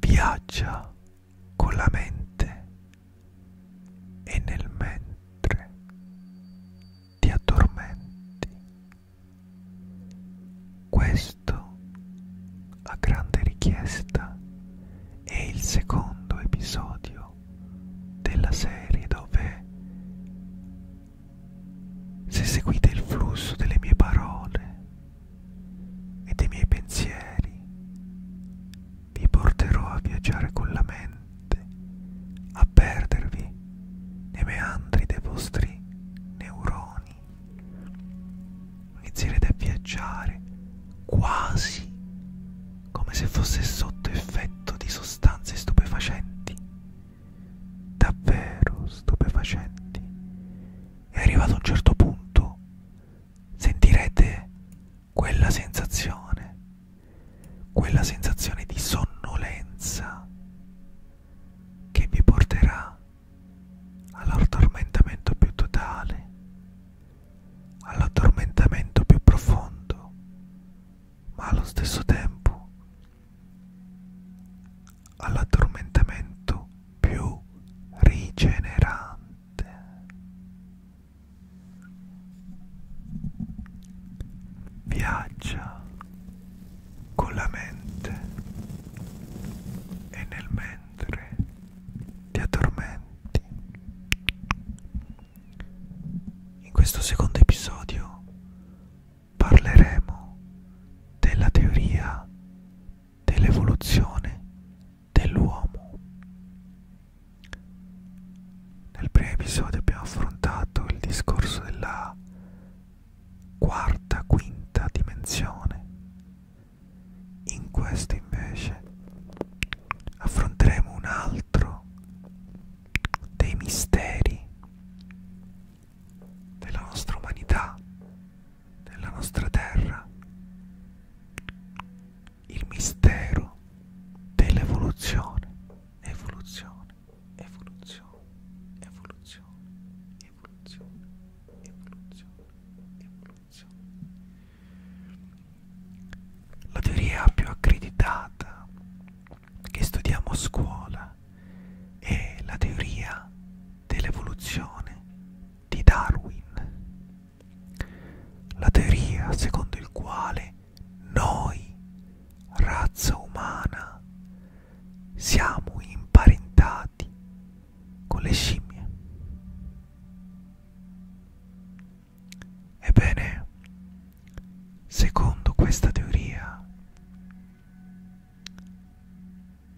Viaggia con la mente e nel mentre ti addormenti. Questo, a grande richiesta, è il secondo episodio della serie dove, se seguite il flusso delle mie parole, e dei miei pensieri vi porterò a viaggiare con la mente, a perdervi nei meandri dei vostri neuroni. Inizierete a viaggiare quasi come se fosse sotto effetto di sostanze stupefacenti, davvero stupefacenti, e arrivato a un certo punto sentirete quella sensazione, quella sensazione di sonnolenza che vi porterà all'addormentamento più totale, all'addormentamento più profondo, ma allo stesso tempo all'addormentamento più rigenerante. Viaggia con la mente e nel mentre ti addormenti. In questo secondo episodio parleremo della teoria dell'evoluzione dell'uomo. Nel primo episodio abbiamo affrontato il discorso della quarta, quinta dimensione. In questo invece affronteremo un altro dei misteri della nostra umanità, della nostra terra, il mistero dell'evoluzione, evoluzione, evoluzione, evoluzione, evoluzione, evoluzione, evoluzione. La teoria più accreditata che studiamo a scuola è la teoria dell'evoluzione di Darwin, la teoria secondo il quale noi, razza umana, siamo imparentati con le scimmie. Ebbene, secondo questa teoria,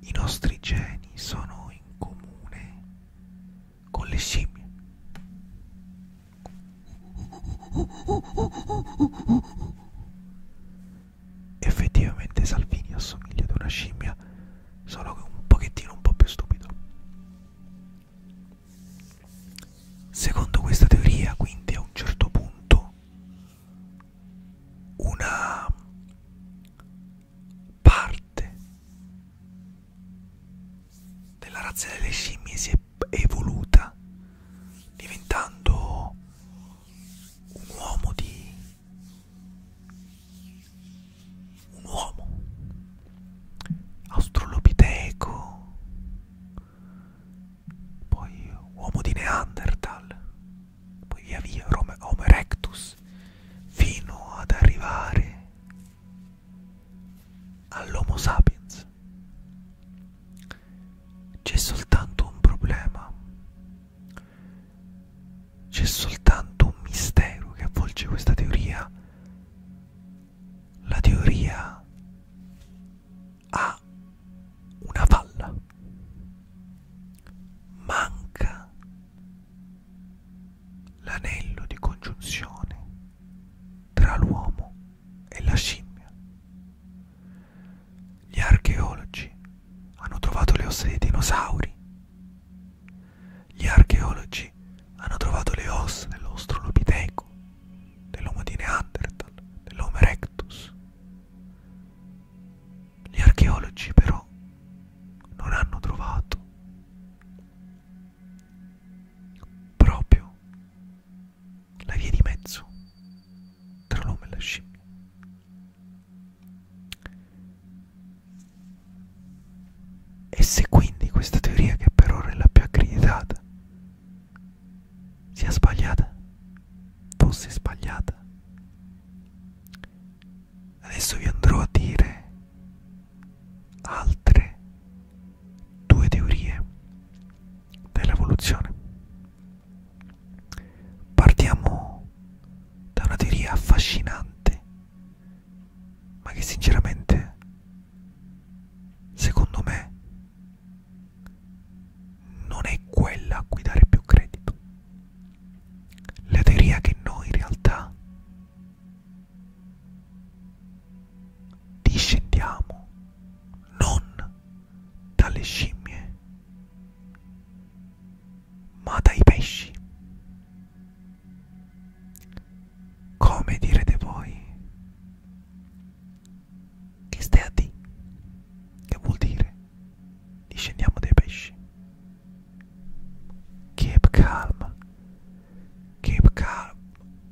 i nostri geni sono in comune con le scimmie. Effettivamente Salvini assomiglia ad una scimmia, solo che un pochettino un po' più stupido. Secondo questa teoria, quindi a un certo punto una parte della razza delle scimmie si è evoluta diventando un uomo di un uomo australopiteco poi uomo di Neanderthal, poi via via Homo erectus, fino ad arrivare all'Homo sapiens. C'è soltanto un problema, c'è soltanto un mistero che avvolge questa teoria, la teoria ha una palla. Manca l'anello di congiunzione tra l'uomo e la scimmia. Gli archeologi hanno trovato le ossa dei dinosauri. Gli archeologi hanno trovato le ossa dell'Australopiteco, dell'Homo di Neanderthal, dell'Homo erectus. Gli archeologi però non hanno trovato proprio la via di mezzo tra l'uomo e la scimmia. E se quindi questa teoria, che per ora è la più accreditata, sia sbagliata, fosse sbagliata. Adesso vi andrò a dire altre due teorie dell'evoluzione. Partiamo da una teoria affascinante, ma che sinceramente, secondo me, non è quella a cui dare più credito. La teoria che noi in realtà discendiamo non dalle scimmie, ma dai pesci. Come direte voi? Che stai a D? Che vuol dire? Discendiamo dai pesci. Keep calm. Keep calm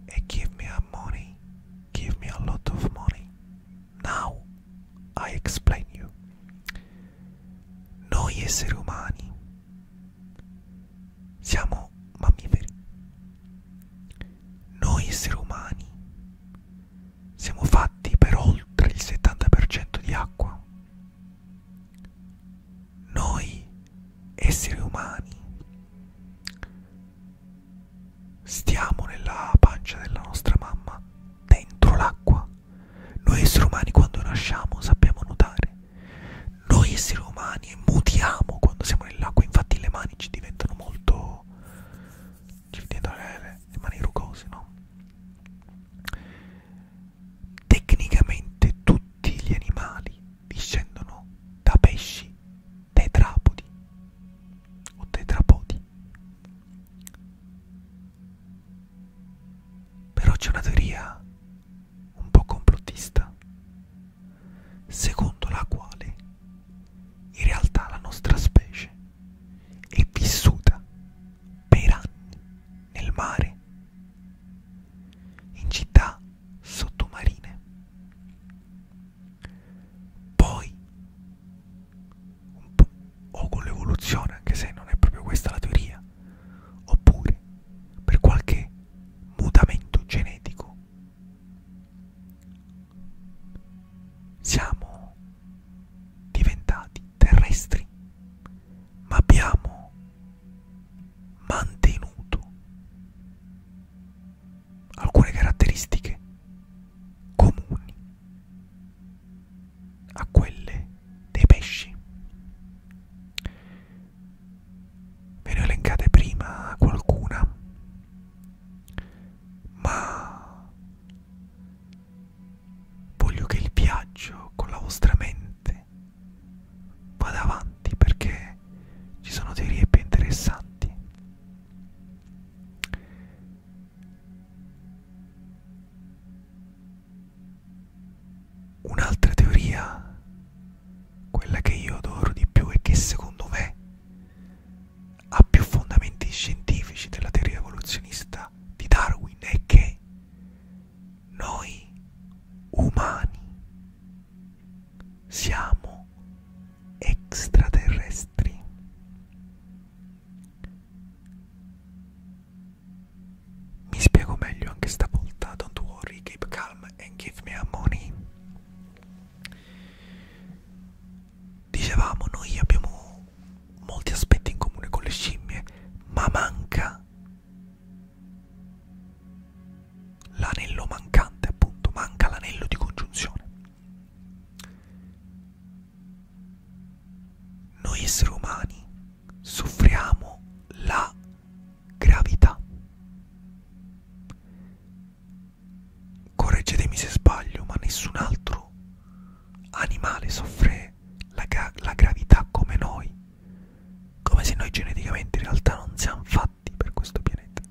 and give me a money. Give me a lot of money. Now I explain you. Noi esseri umani siamo mammiferi. Noi esseri umani siamo fatti per oltre il 70% di acqua. Noi esseri umani stiamo nella pancia della nostra mamma, dentro l'acqua. Noi esseri umani quando nasciamo sappiamo nuotare. Noi esseri umani mutiamo quando siamo nell'acqua, infatti le mani ci diventano molto dietro le, le mani rugose, no? Tecnicamente tutti gli animali discendono da pesci tetrapodi o tetrapodi. Però c'è una teoria un po' complottista, secondo la quale in realtà la nostra specie è vissuta per anni nel mare, in città sottomarine. Poi, un po', o con l'evoluzione, anche se non è proprio questa la teoria, oppure per qualche mutamento genetico siamo diventati terrestri, ma abbiamo mantenuto alcune caratteristiche comuni a quelle dei pesci. Ve ne ho elencate prima qualcuna ma voglio che il viaggio con la vostra mente vada avanti perché ci sono teorie più interessanti. Un'altra teoria, quella che io adoro di più e che secondo me ha più fondamenti scientifici della teoria evoluzionista di Darwin è che noi umani siamo extraterrestri. Mi spiego meglio anche stavolta, don't worry, keep calm and give me a money. Dicevamo, noi abbiamo molti aspetti in comune con le scimmie, ma manca l'anello mancante, appunto, manca l'anello di congiunzione. Noi esseri umani soffriamo la gravità. Correggetemi se sbaglio, ma nessun altro animale soffre la, la gravità come noi, come se noi geneticamente in realtà non siamo fatti per questo pianeta.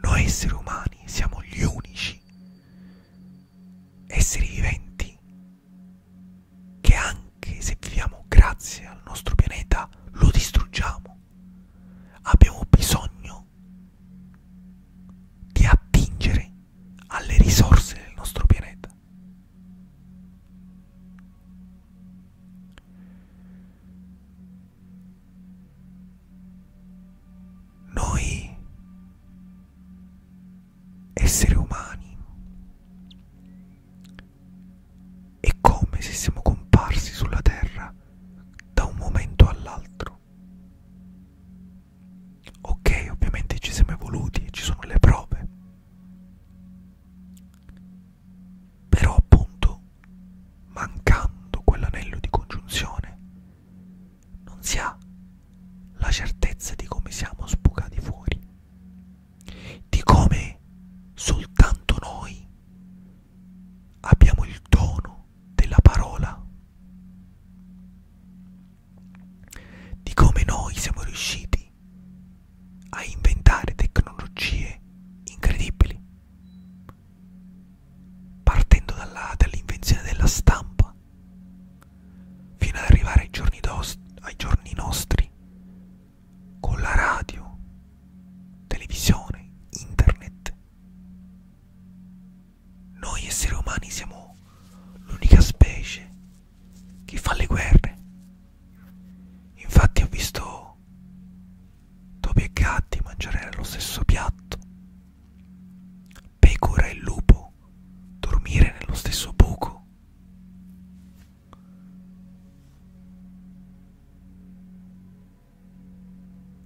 Noi esseri umani siamo gli unici esseri viventi che anche se viviamo grazie al nostro pianeta lo distruggiamo abbiamo bisogno di attingere alle risorse del nostro pianeta. Noi esseri umani è come se siamo comparsi sulla Terra da un momento all'altro. Ok, ovviamente ci siamo evoluti, ci sono le prove. Però appunto, mancando quell'anello di congiunzione, non si ha la certezza di come siamo sbucati fuori, di come soltanto noi abbiamo il dono della parola, di come noi siamo riusciti a inventare tecnologie incredibili, partendo dall'invenzione dall della stampa fino ad arrivare ai giorni, ai giorni nostri con la radio, televisione, internet. Noi esseri umani siamo l'unica specie che fa le guerre. Infatti ho visto topi e gatti mangiare nello stesso piatto, pecora e lupo dormire nello stesso buco.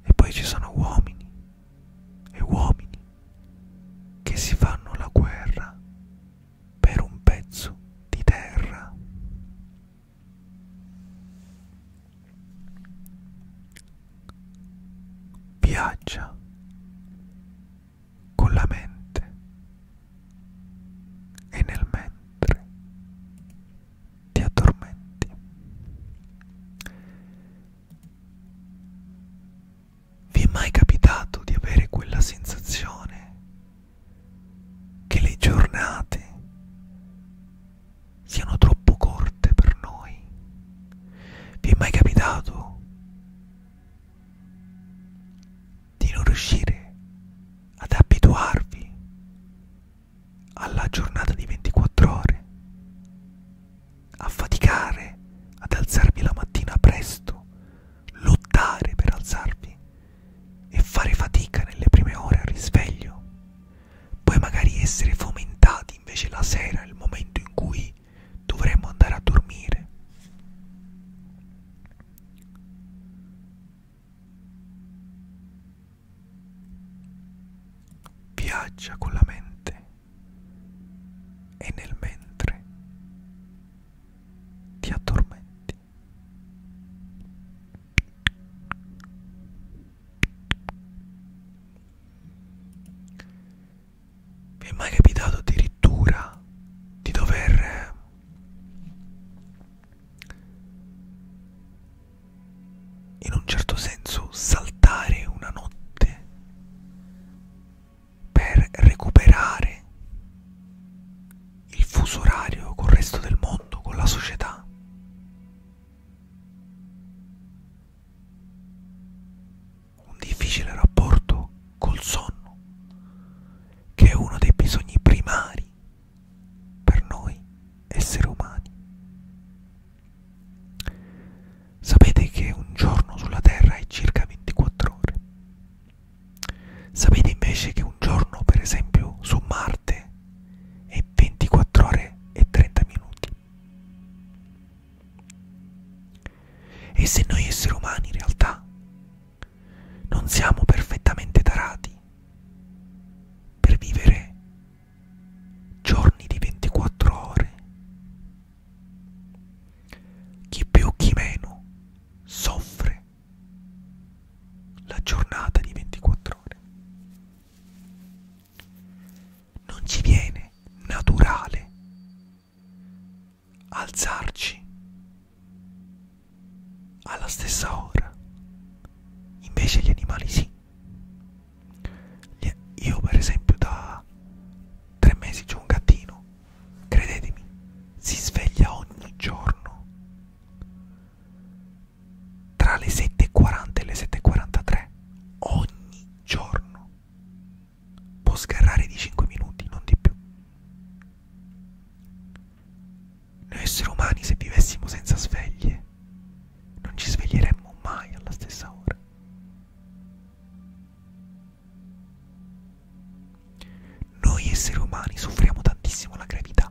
E poi ci sono uomini e uomini che si fanno la guerra per un pezzo di terra. Viaggia con la mente e nel mentre ti addormenti vi è mai capitato di avere quella sensazione che le giornate siano troppo corte per noi vi è mai capitato di non riuscire ad abituarvi alla giornata di 24 ore, a faticare ad alzarvi la mattina presto, lottare per alzarvi e fare fatica nelle prime ore al risveglio, poi magari essere fomentati invece la sera, il momento in cui dovremmo andare a dormire. Viaggia con la mente e nel mentre ti addormenti. Mi è mai capitato addirittura di dover in un certo senso saltare una notte per recuperare il fuso orario col resto del mondo, con la società. Un difficile rapporto col sonno, che è uno dei bisogni primari per noi esseri umani. Sapete che un giorno sulla Terra è circa 24 ore. Sapete invece che un giorno, per esempio, su Marte è 24 ore e 30 minuti. E se noi esseri umani in realtà non siamo perfettamente tarati per vivere giorni di 24 ore. Chi più, chi meno soffre la giornata di 24 ore. Non ci viene naturale alzarci alla stessa ora invece gli animali sì io per esempio da tre mesi c'ho un gattino credetemi si sveglia ogni giorno tra le 7.40 e le 7.43 ogni giorno può sgarrare di 5 minuti non di più noi esseri umani, se vivessimo senza sveglie, non ci sveglieremmo mai alla stessa ora. Noi esseri umani soffriamo tantissimo la gravità.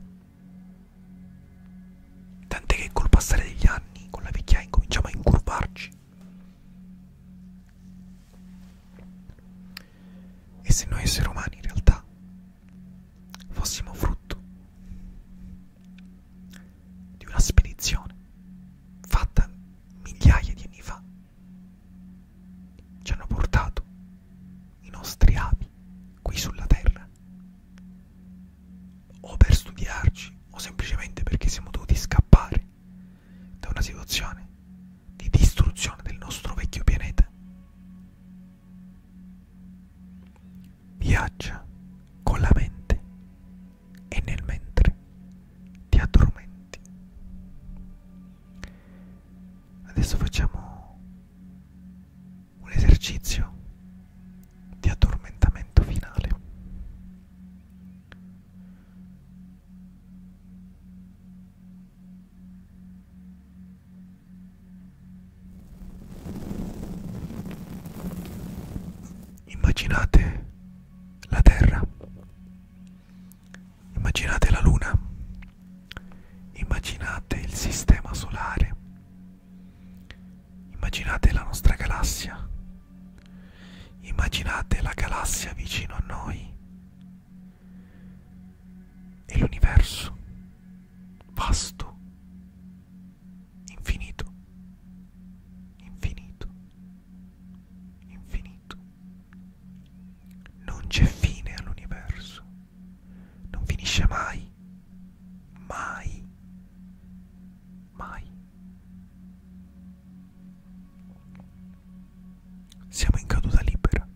Tant'è che col passare degli anni, con la vecchiaia, incominciamo a incurvarci. E se noi esseri umani in realtà fossimo frutto di una spedizione fatta migliaia di anni fa, ci hanno portato i nostri api qui sulla Terra, o per studiarci, o semplicemente perché siamo dovuti scappare da una situazione di distruzione del nostro vecchio pianeta. Viaggia con la mente e nel mentre ti addormenti. Adesso facciamo un esercizio di addormentamento finale. Immaginate la Terra, immaginate la Luna, immaginate il sistema solare, immaginate la nostra galassia, immaginate la galassia vicino a noi, e l'universo, vasto, infinito, infinito, infinito. Non c'è fine all'universo, non finisce mai, mai, mai. Siamo in caduta libera.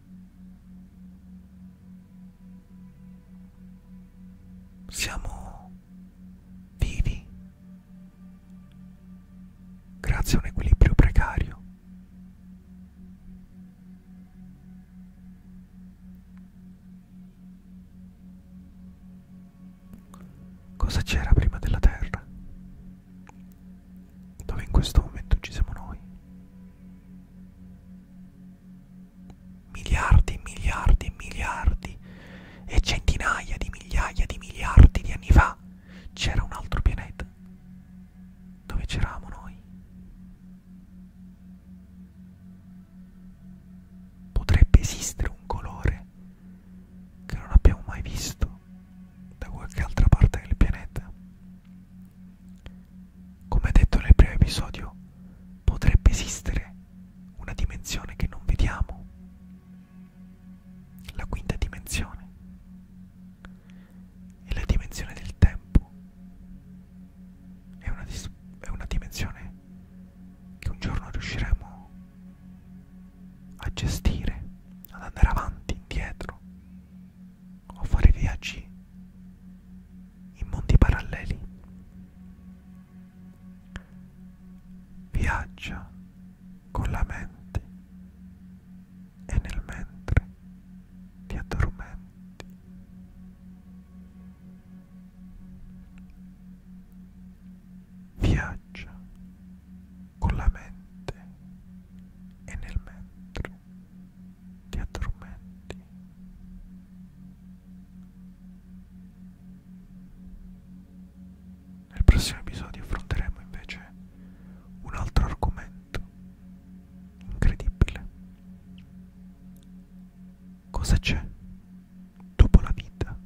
Siamo vivi grazie a un equilibrio precario. Cosa c'era prima della Terra? dove in questo momento ci siamo noi. Miliardi e miliardi e miliardi e centinaia di migliaia di miliardi di anni fa c'era un altro pianeta dove c'eravamo noi. Potrebbe esistere un colore creature che non abbiamo mai visto da qualche altra parte del pianeta. Come detto nel primo episodio, potrebbe esistere una dimensione che non vediamo, la quinta dimensione, e la dimensione del tempo è una, è una dimensione che un giorno riusciremo a gestire, ad andare avanti, indietro o fare viaggi in mondi paralleli. Viaggia con la mente e nel mentre ti addormenti viaggia con la mente e nel mentre ti addormenti. Nel prossimo episodio affronteremo invece un altro argomento incredibile. Cosa c'è dopo la vita?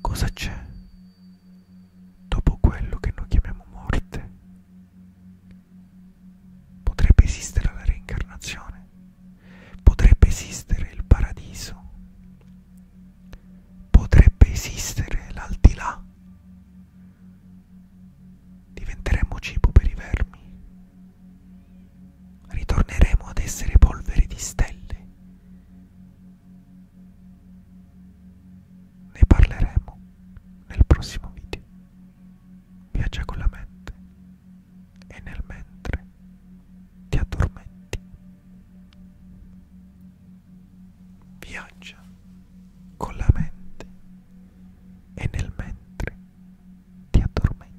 Cosa c'è dopo quello che noi chiamiamo morte? Potrebbe esistere la reincarnazione? Potrebbe esistere il paradiso? Potrebbe esistere l'aldilà? Diventeremo cibo per i vermi? Ritorneremo ad essere polvere di stelle ne parleremo nel prossimo video. Viaggia con la mente e nel mentre ti addormenti. Viaggia con la mente e nel mentre ti addormenti.